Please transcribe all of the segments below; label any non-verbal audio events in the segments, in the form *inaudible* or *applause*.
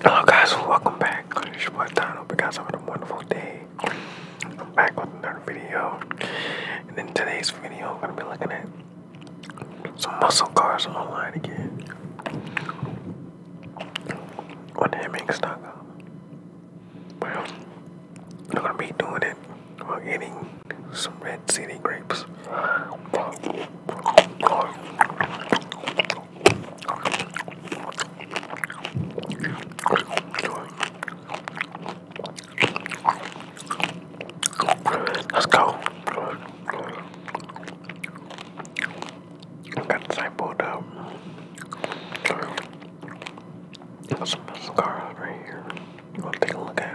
Hello guys, welcome back. It's your boy Don. Hope you guys having a wonderful day. I'm back with another video. And in today's video, I'm going to be looking at some muscle cars online again. On Hammock.com. I'm gonna be doing it while eating some red city grapes. Let's go. got discipled up. There's a muscle car right here. You want to take a look at it?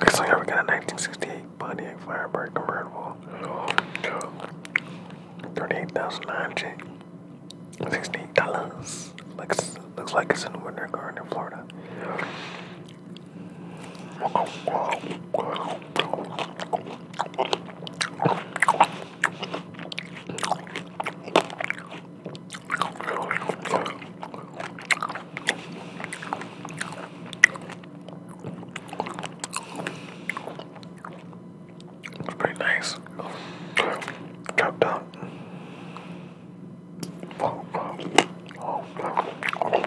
Looks like we got a 1968 Pontiac Firebird convertible. 38900 Sixty-eight dollars. Looks looks like it's in Winter Garden, in Florida. It's pretty nice. Chopped up. Oh, oh, oh, oh, oh.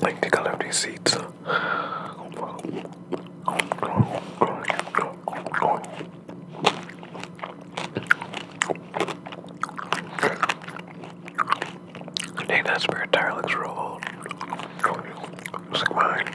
Like the color of these seeds. Dang, that spirit tire looks real old. Looks like mine.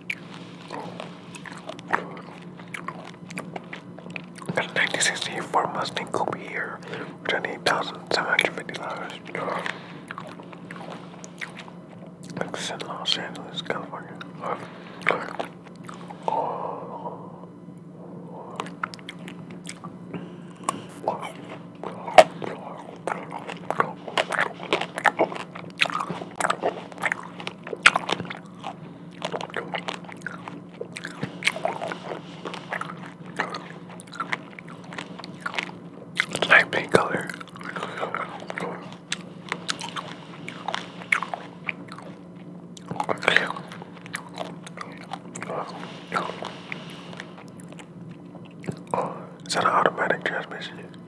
That's 1964 Mustang Coupe here, $28,750. It's in Los Angeles, California. It's light pink color. Okay. Oh, is that an automatic transmission?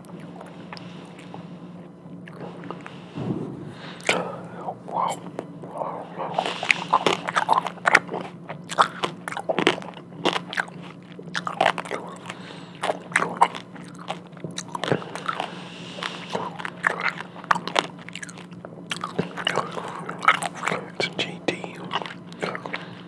Wow. Wow, wow. It's GD.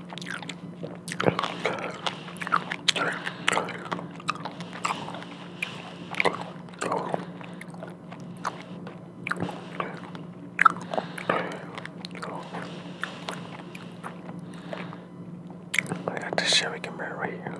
I got this Chevy Camaro right here.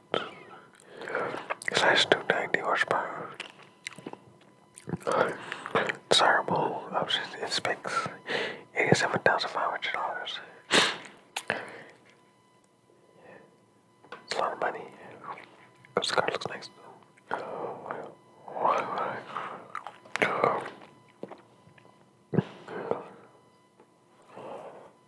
Slash 290 horsepower. Desirable options in specs. $87,500. It's a lot of money. This car looks nice though.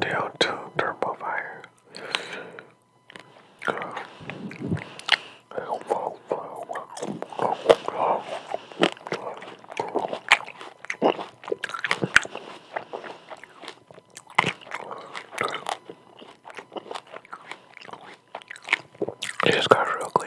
Down to turbo fire. It just got real clean.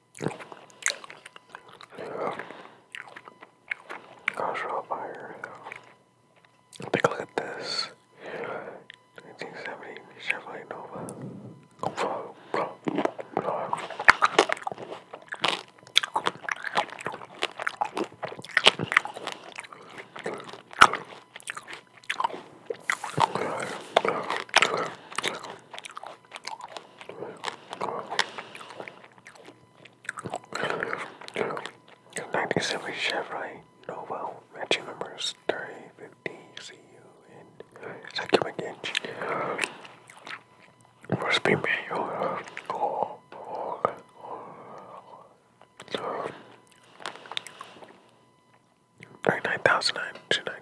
Cultural fire. Take a look at this. 1970 Chevrolet Nova. 97 Chevrolet Novo matching numbers 3050 CU and second inch. First be manual. Call. $99,999.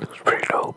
It's pretty dope.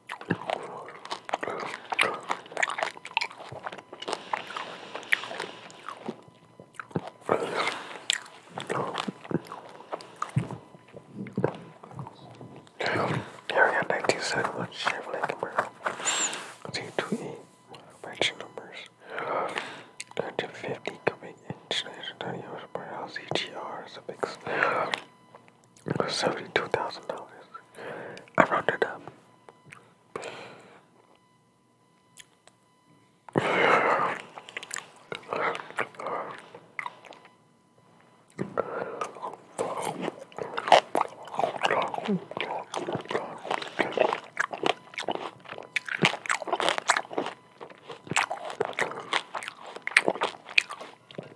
Here we got 19 sandwich, Chevrolet Camaro. Z2E, manufacturing numbers. 1950 cubic inch, 99 yards per hour, CGR, suffix was seventy-two thousand dollars. I rounded up. And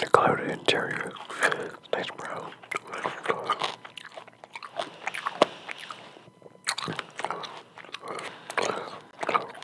the color of the interior is nice brown.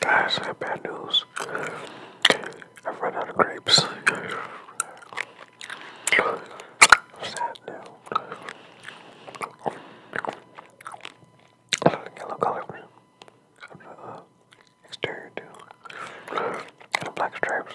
Guys, I have bad news. I've run out of grapes. Sad now. Yellow color. I'm not, uh, exterior too. And black stripes.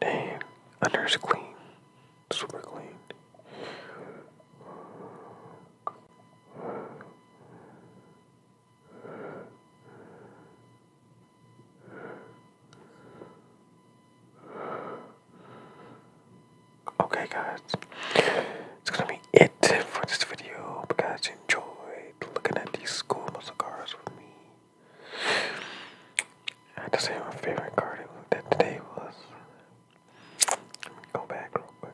Dang, under's clean, super clean. Okay, guys, it's gonna be it for this video. Hope guys enjoy looking at these school muscle cars with me. I have to say my favorite card that today was. go back real quick.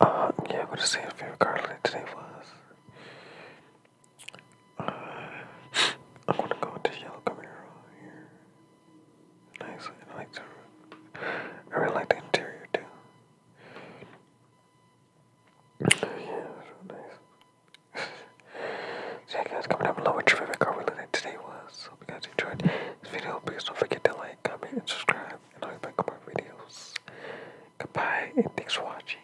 Uh, yeah, i to say my favorite card today was uh, I'm gonna go with this yellow Camaro here. Nice. I like the I really like the interior too. yeah, it's nice. *laughs* so yeah, guys, comment down below what your favorite car we today was. Hope you guys enjoyed this video. Please don't forget to like, comment, and subscribe, and I'll be back on more videos. Goodbye, and thanks for watching.